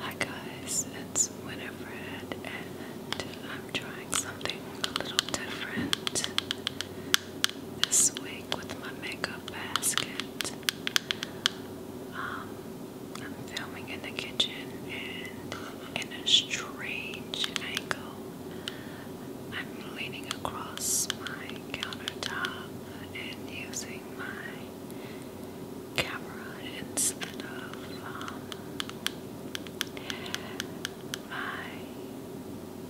Hi guys, it's Winifred and I'm trying something a little different this week with my makeup basket. Um, I'm filming in the kitchen and in a strange angle. I'm leaning across my countertop and using my camera instead of um, my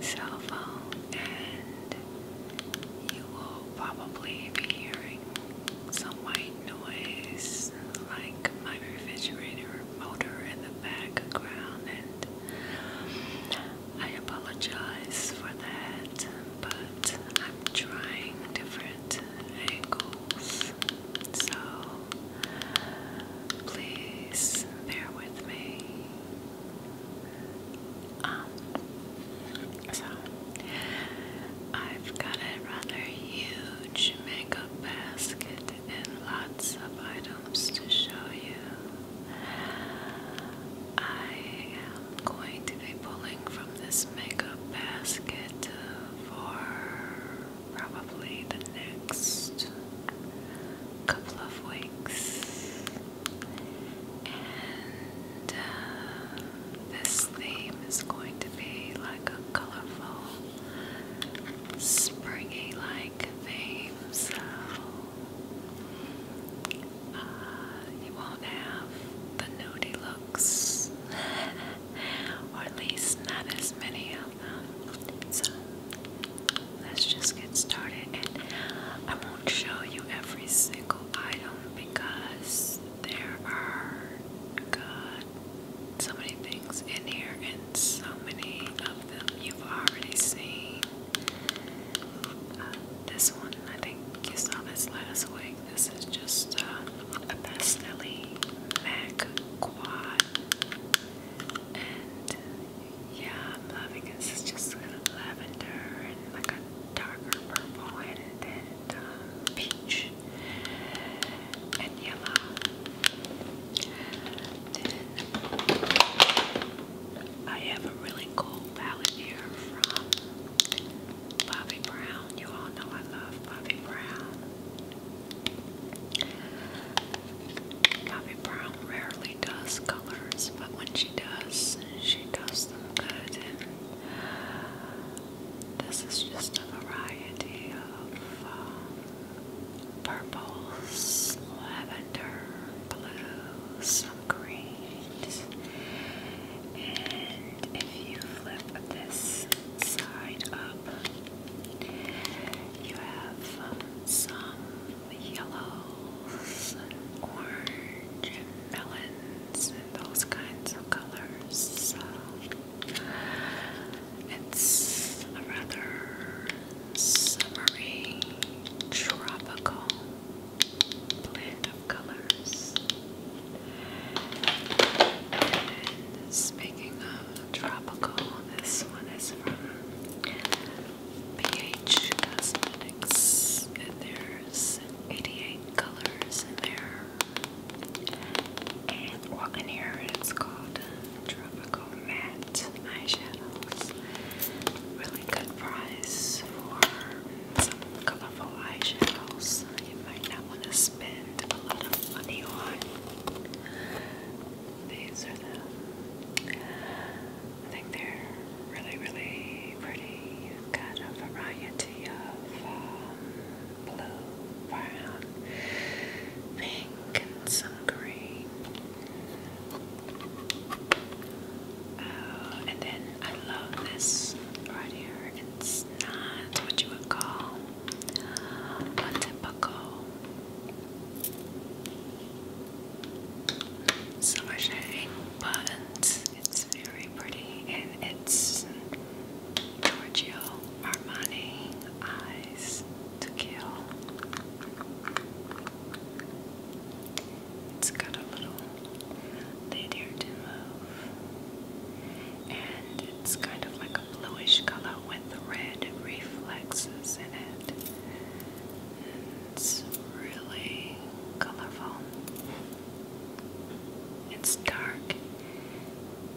cell phone, and you will probably be hearing some white noise like my refrigerator motor in the background, and I apologize for that, but I'm trying different different So please bear with me. Um, so I've got a rather huge makeup basket and lots of items to show you. I am going to be pulling from this makeup basket for probably the next couple of weeks. And uh, this theme is going to be like a colorful, springy like theme, so uh, you won't have the nudie look or at least not as many of them. So let's just get started, and I won't show you every single item because there are God, so many things in here, and so many of them you've already seen. Uh, this one, I think you saw this last week. This is just uh, a Pastelli MAC Quad. And yeah, I'm loving it. This is just kind of lavender and like a darker purple and then um, peach and yellow. Then I have a really cool palette here from Bobby Brown. You all know I love Bobby Brown. Bobby Brown rarely does colors, but when she does, she does them good. this is just a variety of um, lavender, blues, some greens, if you flip this side up, you have um, some yellows and melons and those kinds of colors. it's a rather summery, tropical blend of colors. speaking of tropical, this one is from PH Cosmetics, and there's 88 colors in there. And walking here, it's called Tropical Matte Eyeshadows. Really good price for some colorful eyeshadows you might not want to spend a lot of money on. These are the, I think they're really, really pretty. got a variety of um, blue, brown, pink, and some green. Oh, and then I love this right here it's not what you would call a typical silver but it's very pretty and it's Giorgio Armani Eyes to Kill. It's got a little lady or demo and it's kind of like a bluish color with the red reflexes in it. It's really colorful. It's dark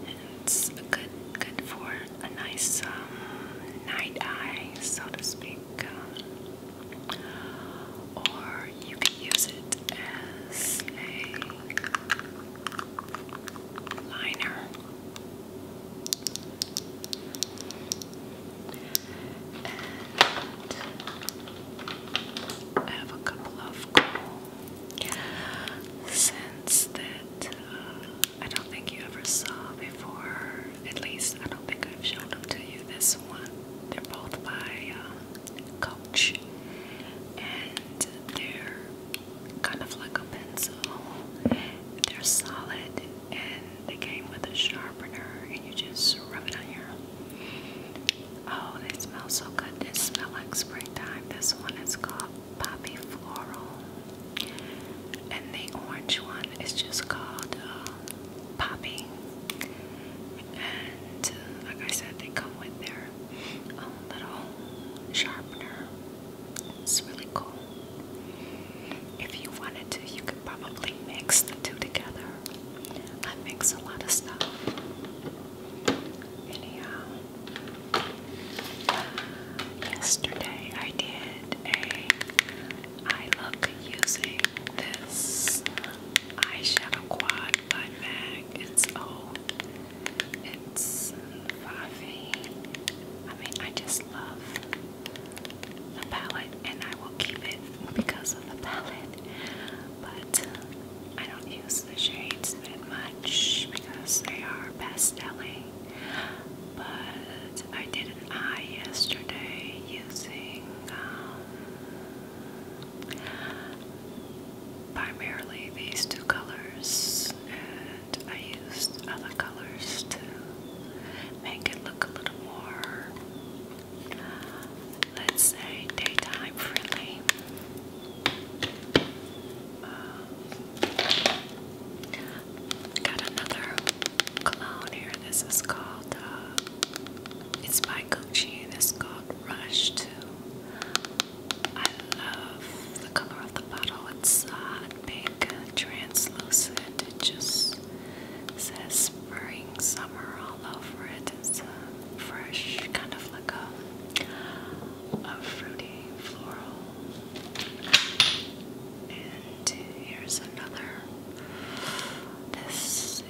and it's good good for a nice um, night eye, so to speak. or you can use it as a liner. And I have a couple of cool scents that uh, I don't think you ever saw before. At least I don't think I've shown them to you. This one, they're both by uh, and they're kind of like a pencil. They're solid and they came with a sharpener and you just rub it on your Oh, they smell so good. They smell like springtime. This one is called Poppy Floral. And the orange one is just called uh, Poppy and uh, like I said, they come with their own um, little sharpener. It's really cool. If you wanted to, you could probably mix two together. I mix a lot of stuff. Anyhow, uh, yesterday I did a. I look using this eyeshadow quad by MAC. It's old. Oh, it's Favi. I mean, I just love the palette, and I will keep it because of the palette. But I don't use the shades that much because they are best selling. But I did an eye yesterday using um, Primarily these two colors, and I used other colors to make it look a little more, let's say, daytime friendly. Um, got another cologne here. This is called uh, it's by Gucci and it's called Rush 2. I love the color of the bottle. It's a pink, translucent. It just says spring, summer all over it. It's a fresh, kind of like a, a fruity floral. And here's another. This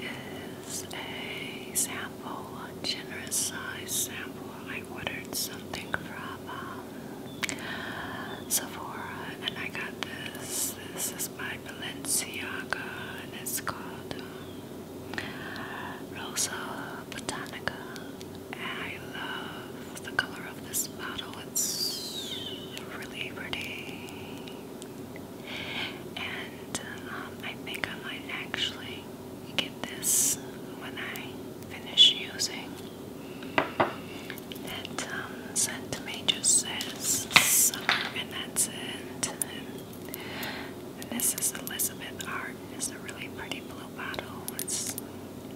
is a sample, a generous size sample. I ordered something from um, Sephora and I got this. This is by Balenciaga and it's called um, Rosa Botanica. And I love the color of this bottle. It's really pretty and um, I think I might actually get this when I finish using. That um, scent and that's it. And, this is Elizabeth Art. It's a really pretty blue bottle. It's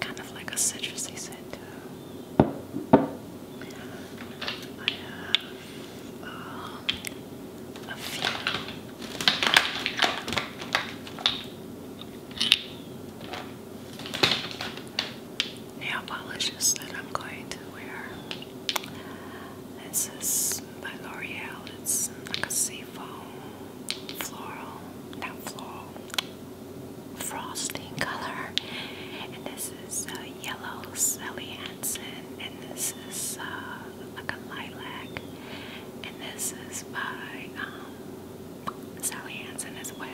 kind of like a citrusy scent. But, um, a few. Nail polishes that I'm going to wear. This is by L'Oreal. It's like a seafoam floral, not floral, frosting color. And this is uh, Yellow Sally Hansen. And this is uh, like a lilac. And this is by um, Sally Hansen as well.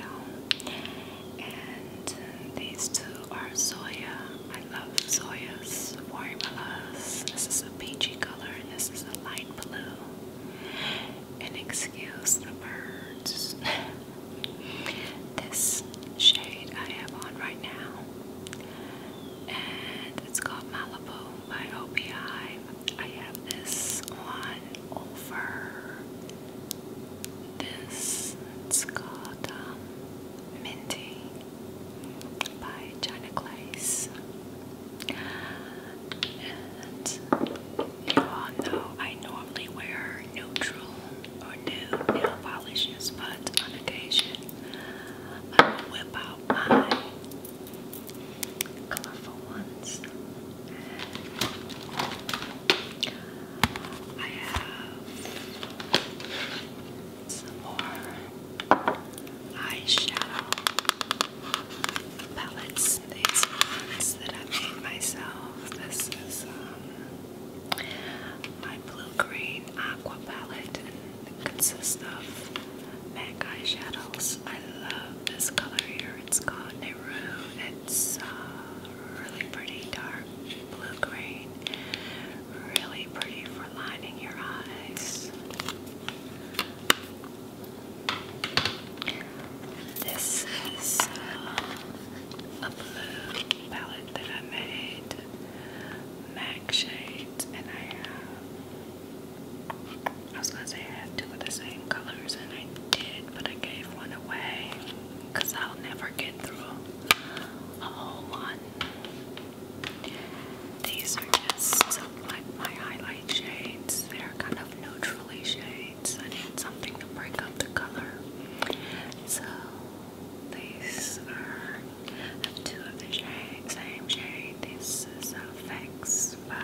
And these two are soya. I love soya's formulas. This is a peachy color and this is a light blue. And excuse the birds. this shade I have on right now and it's called Malibu by OPI. I have this one over this. It's called um, by China Glaze. And you all know I normally wear neutral or nude nail polishes, but on occasion I'm gonna whip out my colorful ones. I have some more eyeshadow palettes. These ones that I made myself. This is um, my blue green aqua palette and consists of MAC shadows. I love this color here. It's called Neru. It's uh, really pretty dark blue green. Really pretty for lining your eyes. This is uh, a blue palette that I made MAC shades, and I have, I was gonna say I have two of the same colors, and I did, but I gave one away, because I'll never get through a whole one. These are just like my highlight shades. They're kind of neutrally shades. I need something to break up the color. So these are two of the shade, same shade. This is Effects by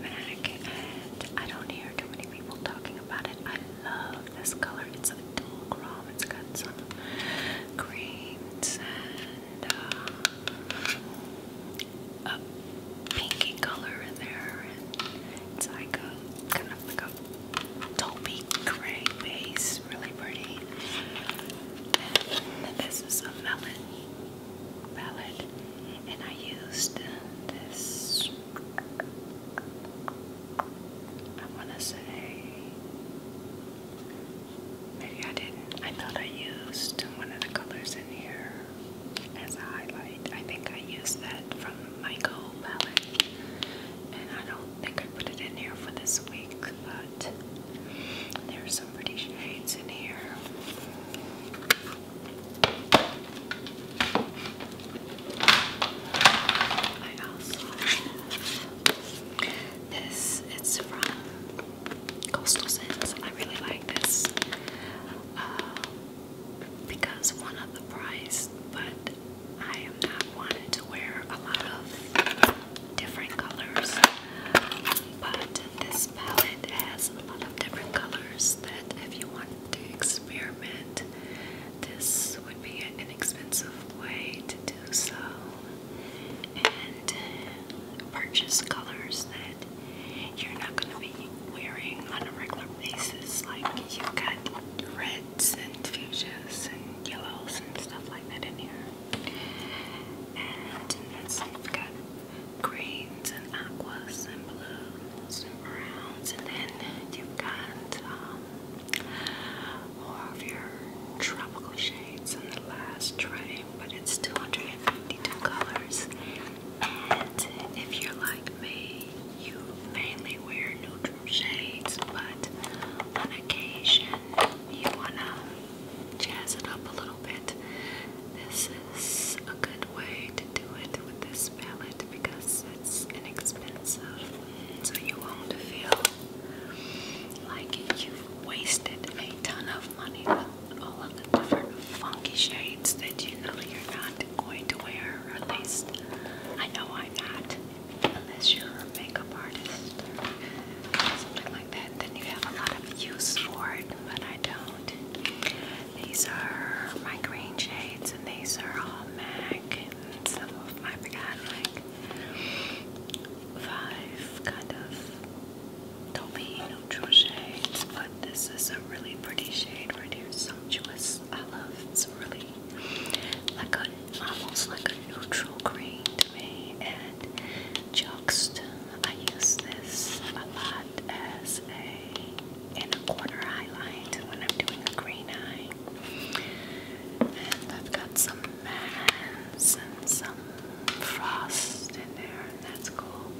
MAC, and I don't hear too many people talking about it. I love this color. It's a dual chrome. It's got some greens and um, a pinky color in there, and it's like a kind of like a Dolby gray base, really pretty. this is a melon palette, and I used this. I want to say maybe I didn't. I thought I used one of the colors in here as a highlight. I think I used that from Michael palette, and I don't think I put it in here for this week, but there are some pretty shades in here. I also this. It's from Coastal Scents. I really like this uh, because one of the price, but I am not wanting to wear a lot of different colors, but this palette has a lot of different colors that if you want to experiment, this would be an inexpensive way to do so and uh, purchase colors that you're not going to be wearing on a regular basis. Like you got red and fuchsias and yellows and stuff like that in here. And that's have got greens and aquas and blues and browns, and then you've got um, of your tropical shades in the last tray, but it's 252 colors. And if you're like me, you mainly wear neutrals shades, but on occasion you wanna jazz it up a little bit. This is a good way to do it with this palette because it's inexpensive, so you won't feel like you've wasted a ton of money with all of the different funky shades that you know you're not going to wear, at least I know I'm not unless you're a makeup artist something like that, then you have a lot of use for it, but I don't. These are my green shades, and these are all MAC, and some of got like five kind of taupe neutral shades, but this is a really pretty shade right here, sumptuous. I love it's really like a almost like a neutral green to me. And Juxta, I use this a lot as a in corner highlight when I'm doing a green eye. And I've got some mass and some frost in there, and that's cool.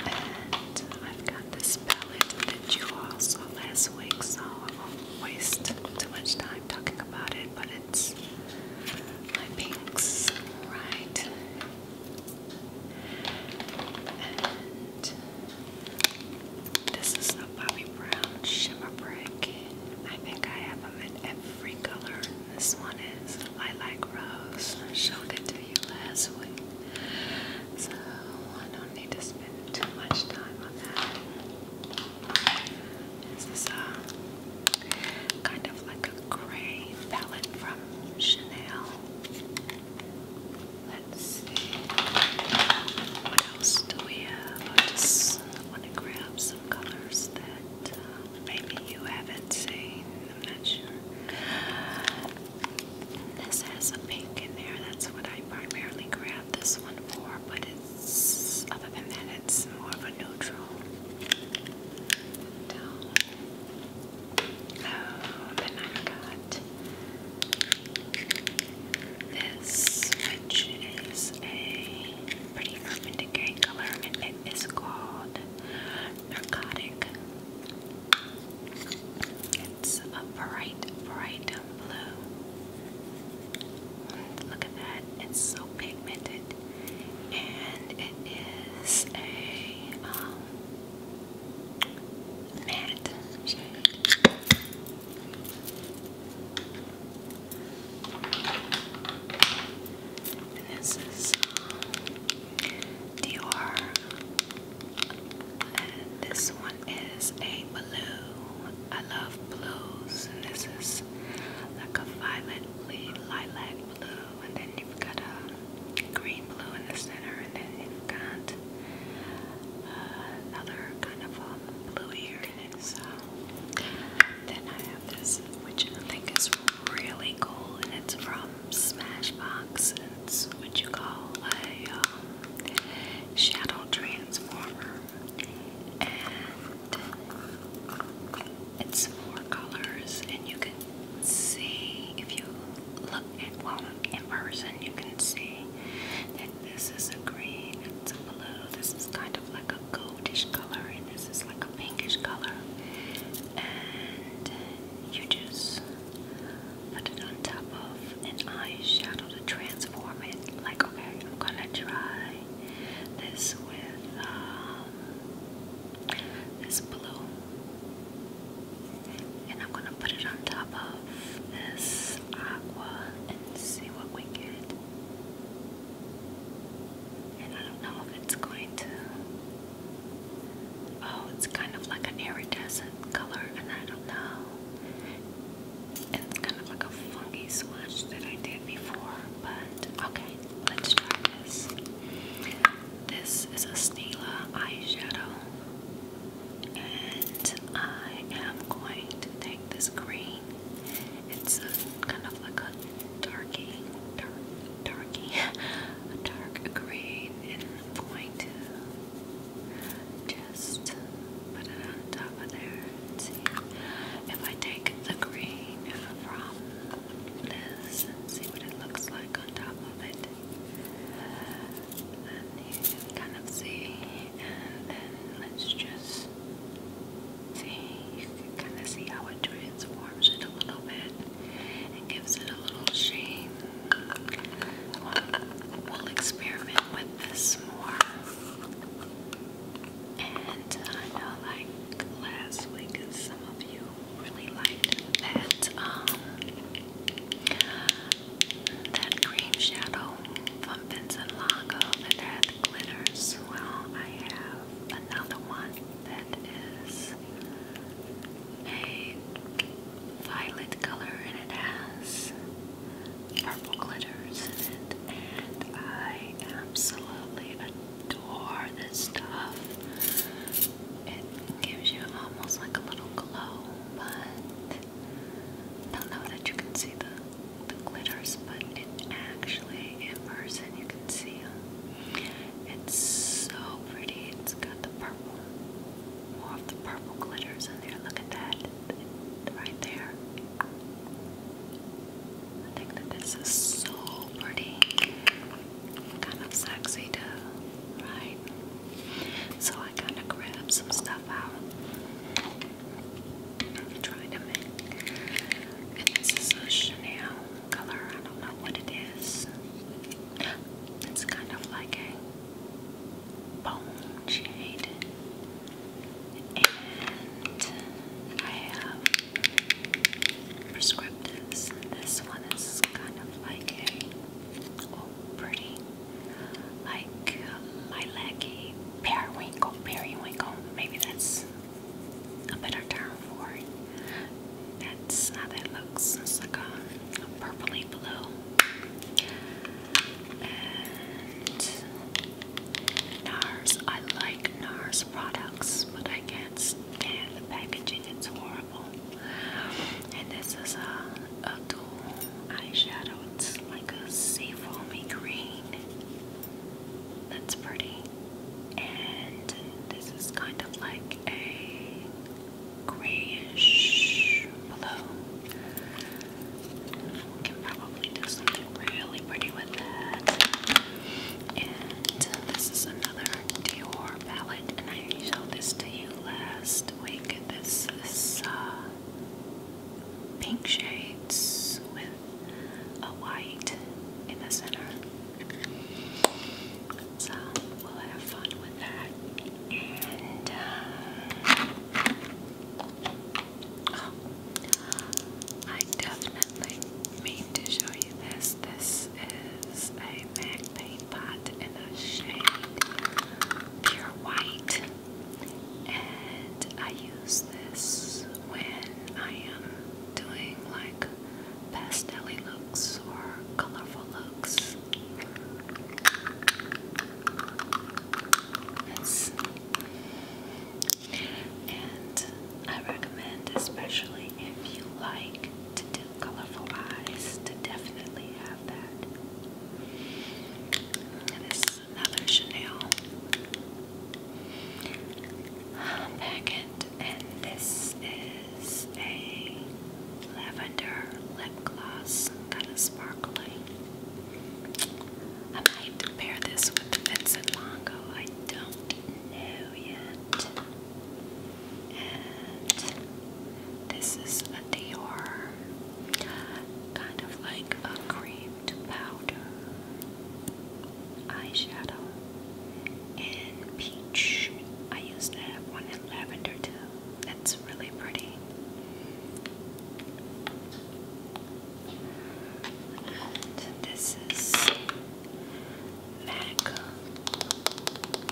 And I've got this palette that you all saw last week, so I won't waste too much time talking about it, but it's my pinks, right? this is the Bobbi Brown Shimmer Brick. I think I have them in every color. This one is like Rose. I showed it to you last week. So I don't need to spend too much time on that. This is uh, a kind of like a gray palette from Chanel. Let's see. What else do we have? I just want to grab some colors that uh, maybe you haven't seen. i This has a pink in there. That's what I primarily grabbed this one for, but it other than that, it's more of a neutral oh, then i got this, which is a pretty urban decay color, and it is called Narcotic. It's a bright, bright blue. Look at that. It's so pigmented. And it is a um, matte And this is um, Dior. And this one is a blue. I love blues, and this is like a violetly lilac blue, and then you've got a green blue in the center, and then you've got uh, another kind of a um, blue here. then I have this, which I think is really cool, and it's from Smashbox. It's what you call a um, shadow transformer and it's four colors and you can see if you look at well in person you can see that this is a green it's a blue this is kind of like a goldish color and this is like a pinkish color and you just put it on top of an eyeshadow to transfer like, okay, I'm gonna try this with um, this blue, and I'm gonna put it on top of this aqua and see what we get. And I don't know if it's going to. Oh, it's kind of like an iridescent color, and I don't know and it's kind of like a funky swatch that I did before, but okay, let's try this. This is a Stila eyeshadow, and I am going to take this green. It's a, kind of like a darky, dark, darky, a dark green, and I'm going to just put it on top of there and see if I take the green from this and see what it looks like on top of it. Then you can kind of see, and then let's just see. You can kind of see how it transforms it a little bit and gives it a little sheen. we'll experiment with this more. And I know, like last week, some of you really liked that um that cream shadow from Vincent Longo that had glitters. Well, I have another one that is a violet color, and it has purple glitters and I absolutely adore this stuff. It gives you almost like a little glow, but I don't know that you can see the, the glitters, but it actually in person you can see them. It's so pretty. It's got the purple, more of the purple glitters in there. Look at that right there. I think that this is so pretty. Kind of sexy too, right? So I kind of grabbed some stuff out. And to make. this is a Chanel color. I don't know what it is. It's kind of like a bone shade. And I have prescriptives. This one is kind of like a oh, pretty, like uh, lilac periwinkle, periwinkle. Maybe that's a better term for it. That's how that looks. like a purpley blue. And NARS. I like NARS products, but I can't stand the packaging. It's horrible. And this is a, a dual eyeshadow. It's like a sea foamy green. That's pretty. And this is kind of like a grayish blue. We can probably do something really pretty with that. And uh, this is another Dior palette, and I showed this to you last week. This uh, pink shades with a white in the center. So we'll have fun with that. And uh, I definitely mean to show you this. This is a MAC paint pot in a shade pure white, and I use this when I am doing like pastel looks or colorful looks. Yes. And I recommend, especially if you like to do colorful eyes, to definitely have that. this is another Chanel packet, and this is a lavender lip gloss. Got sparkling. I might pair this with Vincent Longo. I don't know yet. And this is a Dior, kind of like a cream powder eyeshadow in peach. I used that one in lavender too really pretty. this is MAC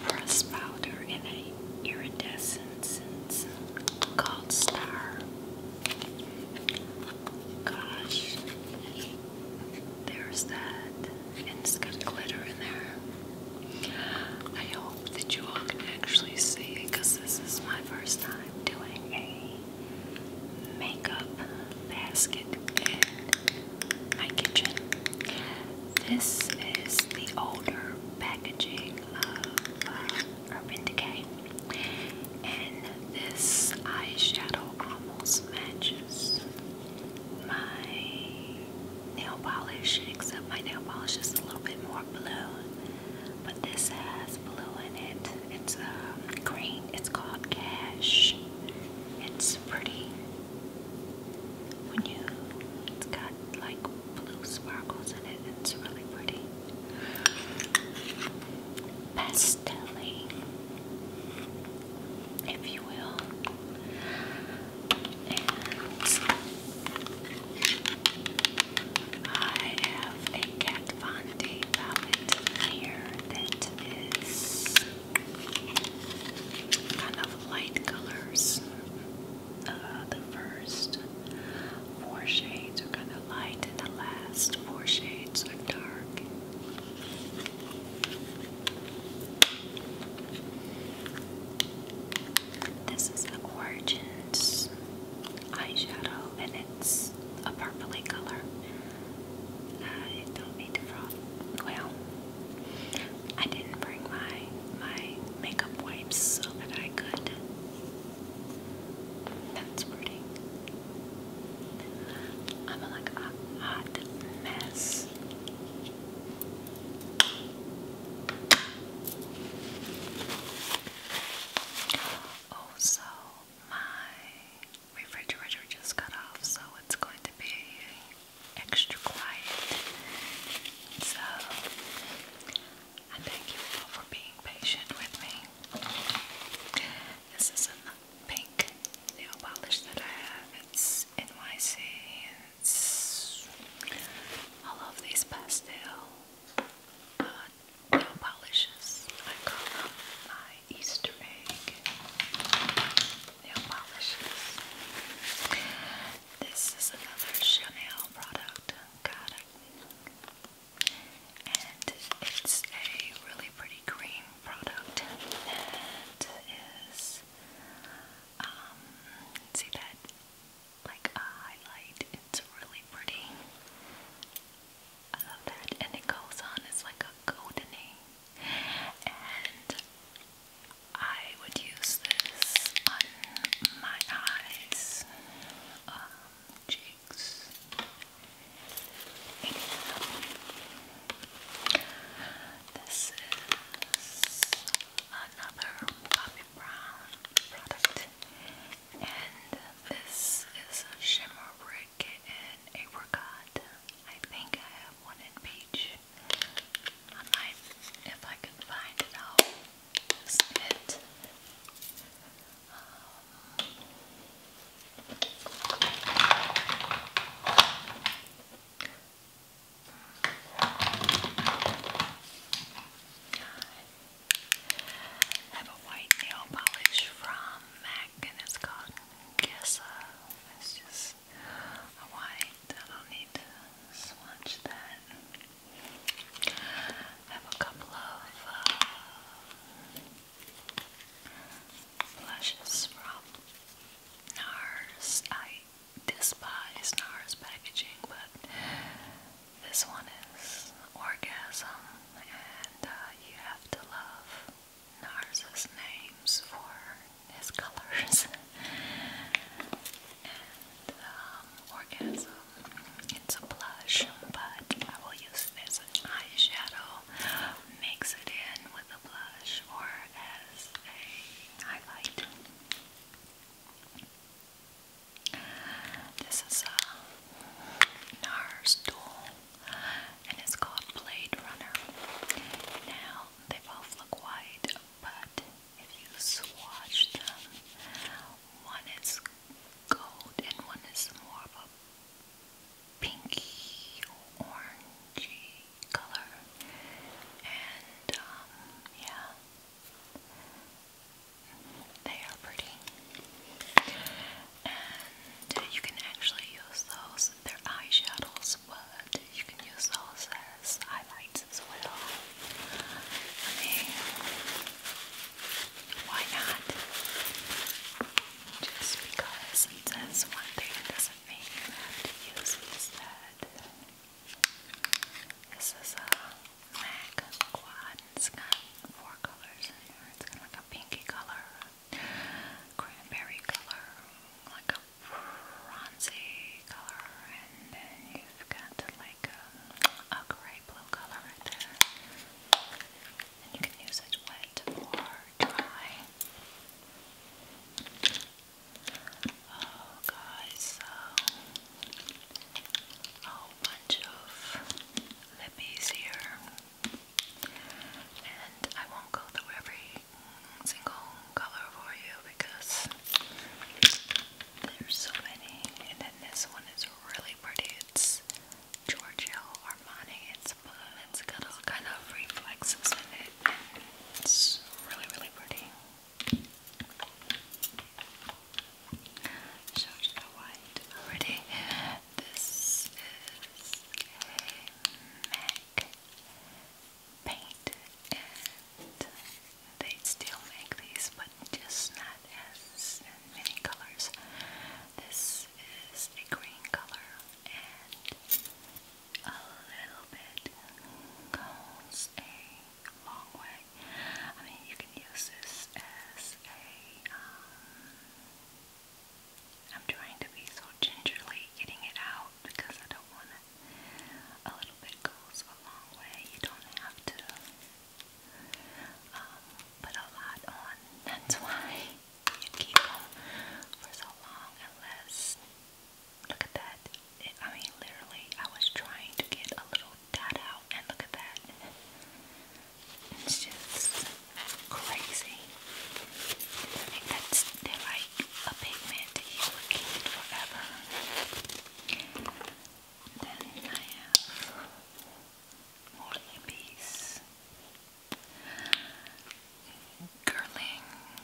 press powder in an iridescent called Star. Gosh, there's that, and it's got glitter in there. I hope that you all can actually see because this is my first time doing a makeup basket in my kitchen. This is the older packaging of uh, Urban Decay, and this eyeshadow almost matches my nail polish, except my nail polish is a little bit more blue but this has blue in it. It's um, green. It's called Cash. It's pretty. When you, it's got like blue sparkles in it. It's really pretty. Pastelling, if you will. And I have a Kat Von palette here that is kind of light colors. Uh, the first four shades are kind of light, and the last four shades are dark. This is the Origins eyeshadow, and it's a purpley color. Uh, I don't need to frog. Well, I didn't bring my my makeup wipes so that I could. That's pretty. I'm like a hot mess. Also, oh, my refrigerator just got off, so it's going to be extra quiet. So, I thank you all for being patient with me. This is a pink nail polish that I have. It's NYC. It's all of these pastel uh, nail polishes. I call them my Easter egg nail polishes. This is another Chanel product. Got And it's a really pretty cream product that is, um, see that like a highlight. It's really pretty. I love that. And it goes on, it's like a goldeny. And I would use this on my eyes, um, this is another Bobbi Brown product. And this is a shimmer brick and apricot. I think I have one in peach. if I can find it, I'll use it. Um, I have a white nail polish from MAC and it's called Gessa. It's just white. I don't need to smudge that. I have a couple of uh, blushes from NARS. I despise NARS packaging, but this one is Orgasm, and uh, you have to love Narza's names for his colors. and um, Orgasm, it's a blush, but I will use this as an eyeshadow, mix it in with a blush, or as a highlight. This is a NARS tool and it's called Blade Runner. Now they both look white, but if you swatch them, one is gold and one is more of a pinky orangey color. And um, yeah. They are pretty. And you can actually use those, they're eyeshadows, but you can use those as highlights as well. I mean, why not? Just because it says one thing doesn't mean you have to use it instead. This is a uh, MAC quad. It's got four colors It's got like a pinky color, cranberry color, like a bronzy color, and then you've got like a, a gray blue color right there. And you can use it wet or dry. Oh, guys, so a bunch of lippies here, and I won't go through every single color for you because there's so many. And then this one is really pretty. It's Giorgio Armani. It's blue. It's got all kind of reflexes in it. It's really, really pretty. Showed you white already. This is a MAC paint, and they still make these, but just not as many colors. This is a green color and a little bit goes a long way. I mean, you can use this as a, am um, trying to be so gingerly getting it out because I don't want a little bit goes a long way. You don't have to um, put a lot on. That's why you keep them for so long unless, look at that. I mean, literally, I was trying to get a little that out, and look at that. It's just crazy. I think that's like a pigment that you would keep forever. Then I have more babies.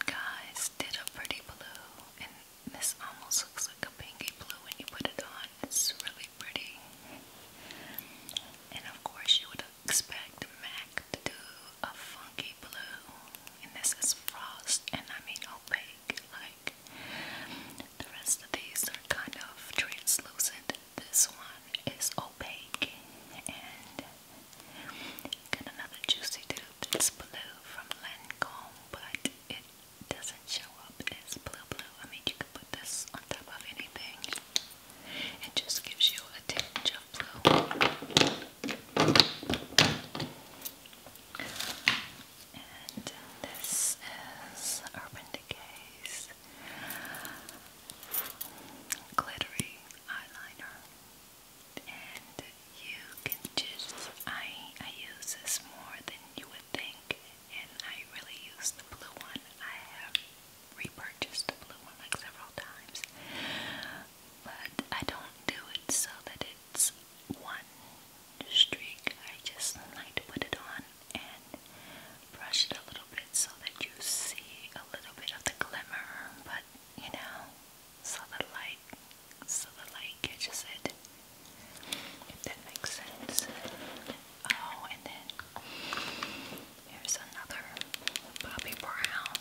guys did a pretty blue, this almost looks like a pinky blue when you put it on. It's really pretty. And of course, you would expect MAC to do a funky blue. And this is frost, and I mean opaque. Like the rest of these are kind of translucent. This one is opaque. And got another juicy dude that's blue from Lancome, but it doesn't show up as blue blue. I mean, you can put this on top of anything. It just gives you a tinge of blue. And uh, this is Urban Decay's glittery eyeliner. And you can just I I use this more than you would think and I really use the blue one. I have repurchased the blue one like several times, but I don't do it so that it's one streak. I just like to put it on and brush it a little bit so that you see a little bit of the glimmer, but you know, so the light, so the light catches it if that makes sense. Oh, and then here's another Bobby Brown.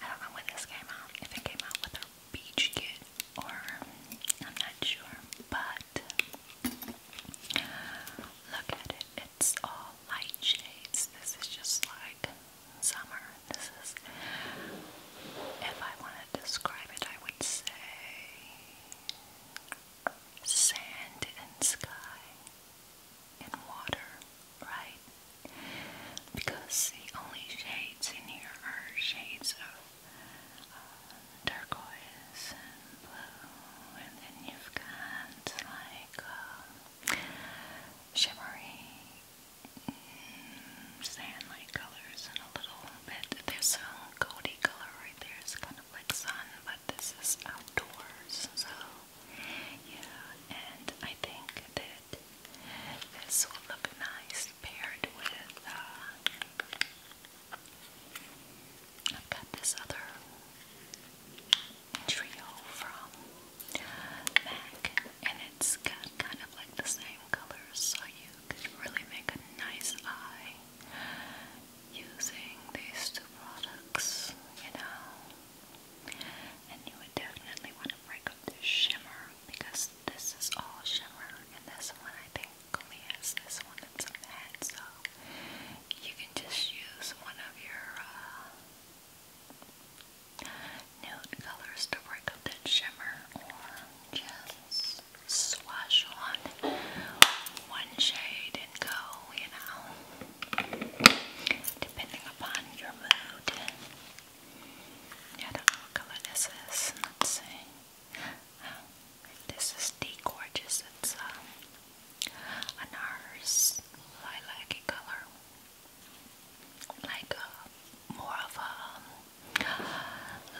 I don't know when this came out, if it came out with a beach kit or I'm not sure, but look at it. It's all light shades. This is just like summer. This is, if I want to describe it, I would say sand and sky and water, right? Because the only shades in here are shades of uh, turquoise and blue, and then you've got like uh, shimmery sand-like colors and a little bit. There's a goldy color right there. It's kind of like sun, but this is outdoors. So, yeah. And I think that this will look nice paired with. Uh, I've got this other trio from MAC, and it's got kind of like the same colors, so you could really make a nice eye using these two products, you know. And you would definitely want to break up the shimmer because this is all shimmer, and this one I think only has this one that's the matte, so you can just use one of your uh, nude colors to break up that shimmer, or just swash on one shade and go, you know, depending upon your mood. I do color is. Let's this is D Gorgeous. It's um, an ours lilac color. Like uh, more of um,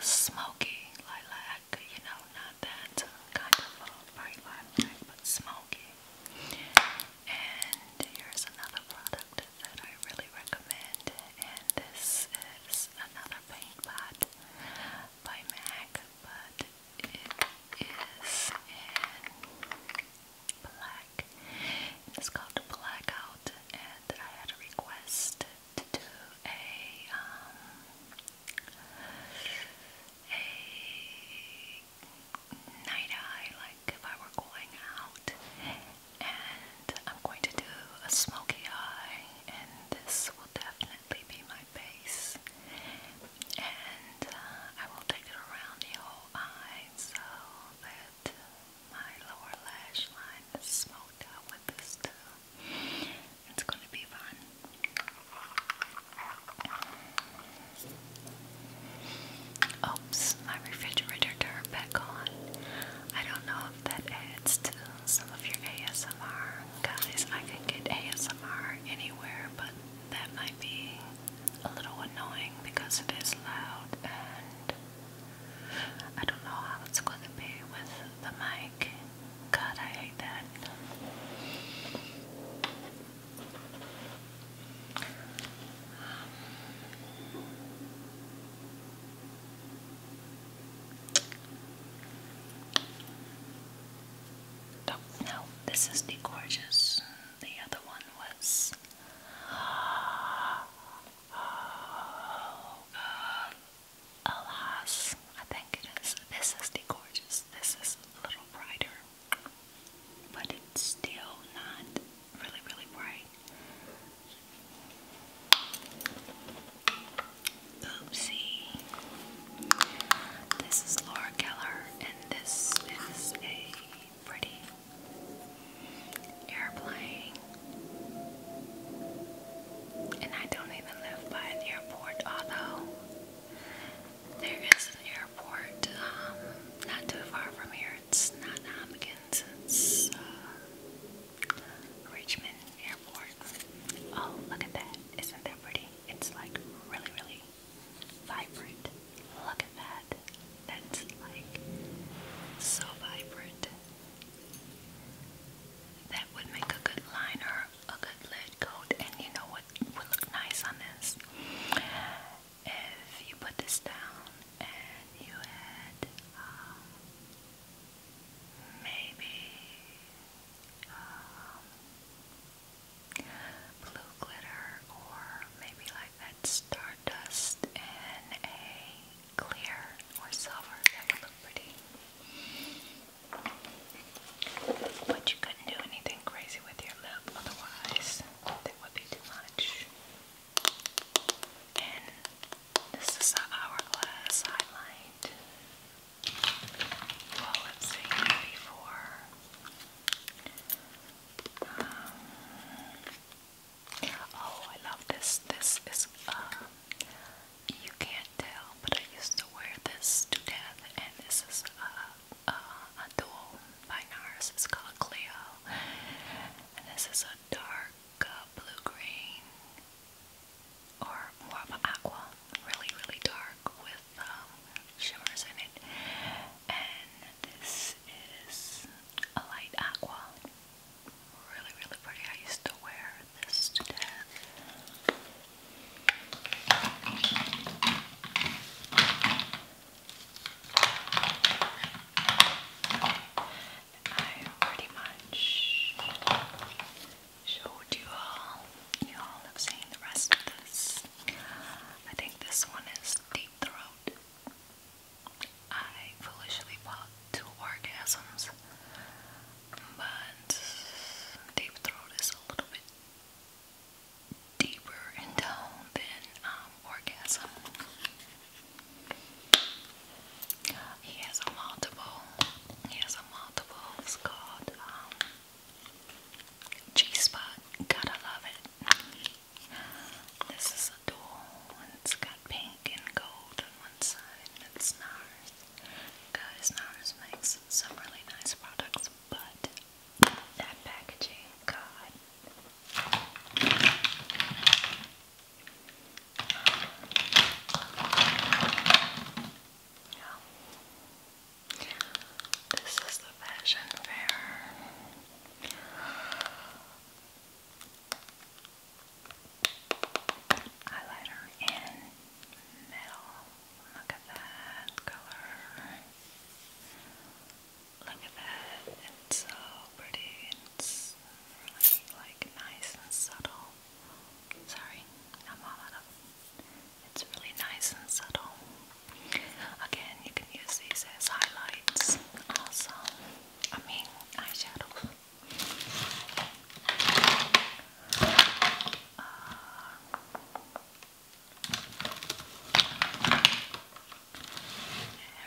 smoky lilac, you know, not that kind of bright lilac, but smoky. And here's another product that I really recommend, and this is another paint pot by MAC, but it is in black. It's called Blackout, and I had a request to do a um, a night eye, like if I were going out, and I'm going to do a smoky eye, and this will definitely be my base, and uh, I will take it around the whole eye so that my lower lash line is smoked out with this too. It's going to be fun. Oops, my refrigerator turned back on. I don't know if that adds to some of your ASMR. Guys, I can get ASMR anywhere, but that might be a little annoying because it is loud and I don't know how it's going to be with the mic. God, I hate that. no, this is the gorgeous. The other one was Oh um, Alas, I think it is. This is the gorgeous. This is a little brighter. But it's still not really, really bright. Oopsie. This is Laura Keller, and this is a pretty airplane. And I don't even live by an airport, although there is an airport um, not too far from here. It's not Hopkins, um, it's uh, Richmond Airport. Oh, look at that. Isn't that pretty? It's like really, really vibrant. Look at that. That's like so vibrant. That would make a good liner, a good lid coat, and you know what would look nice on this? If you put this down and you had um, maybe um, blue glitter or maybe like that stardust in a clear or silver, that would look pretty. But you couldn't do anything crazy with your lip, otherwise that would be too much. And this is the hourglass highlight. Well, let's see before. Oh, I love this. This is, uh, you can't tell, but I used to wear this to death, and this is a, uh, uh, a, dual by NARS. It's called Cleo, and this is a dark blue-green, or more of an aqua, really, really dark with um, shimmers in it, and this is a light aqua really, really pretty. I used to wear this to death. I pretty much showed you all. You all have seen the rest of this. I think this one is Deep Throat. I foolishly bought two orgasms, but Deep Throat is a little bit deeper in than um, orgasm. He has a multiple. He has a multiple. It's called um, G Spot. Gotta love it. This is a dual. It's got pink and gold one it's NARS. Guys, NARS makes some really nice products, but that packaging, God. This is the fashion fair. Highlighter in metal. Look at that color. Look at that. It's so pretty. It's really like nice and subtle. Sorry, I'm all out of it's really nice and subtle. Again, you can use these as highlights also. I mean eyeshadows. Uh,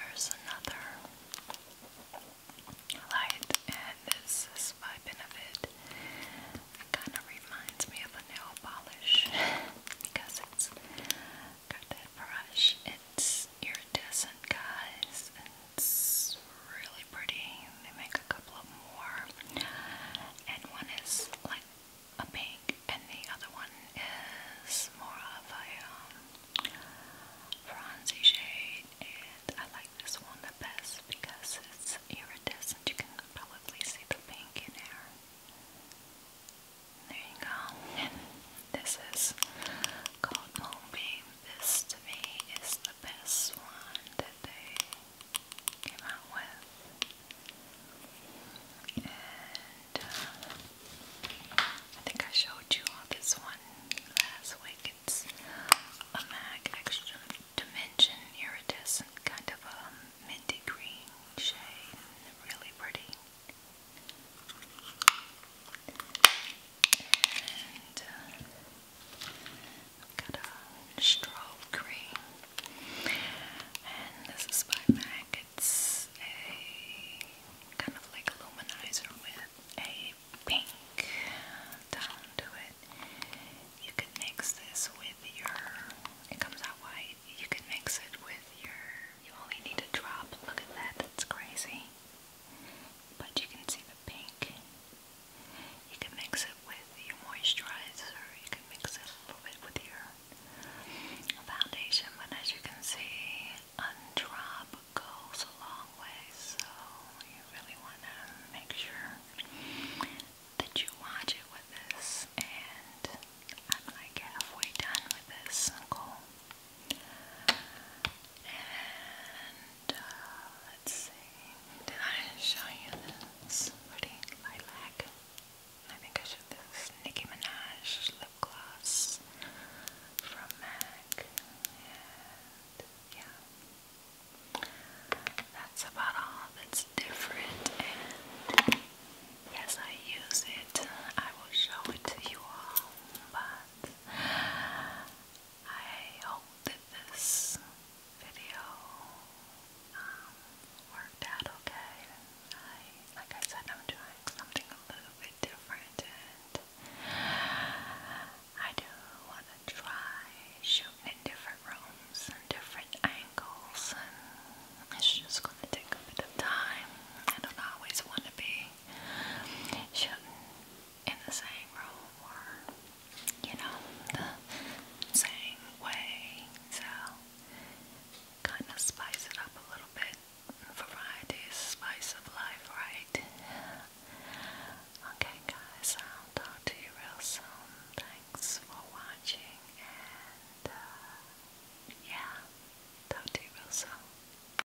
here's another light, and this is by Benefit. It kind of reminds me of a nail polish because it's got that brush. It's iridescent guys. it's really pretty. They make a couple of more. And one is like a pink, and the other one is more of a um, bronzy shade. And I like this one the best because it's iridescent. You can probably see the pink in there. There you go. And this is called Moonbeam. This to me is the best one that they came out with. And uh, I think I showed you all this one last week. It's a MAC Extra Dimension Iridescent, kind of a minty green shade. Really pretty. And uh, a straw And this is by MAC. It's a kind of like luminizer with a pink down to it. You can mix this with your, it comes out white. You can mix it with your, you only need a drop. Look at that, that's crazy but you can see the pink. You can mix it with your moisturizer, you can mix it a little bit with your foundation, but as you can see, undrop goes a long way, so you really want to make sure that you watch it with this, and I'm like halfway done with this, cool. And uh, let's see, did I show you this pretty lilac? I think I showed this Nicki Minaj lip gloss from MAC. yeah, that's about all that's different. And I use it, I will show it to you all. But I hope that this video um, worked out okay. like I said, I'm doing something a little bit different, and I do want to try shooting different rooms and different angles, it's just going to take a bit of time. I don't always want to be shouldn't in the same room or, you know, the same way. So, kind of spice it up a little bit. Variety is spice of life, right? Okay, guys, I'll talk to you real soon. Thanks for watching, and uh, yeah, talk to you real soon.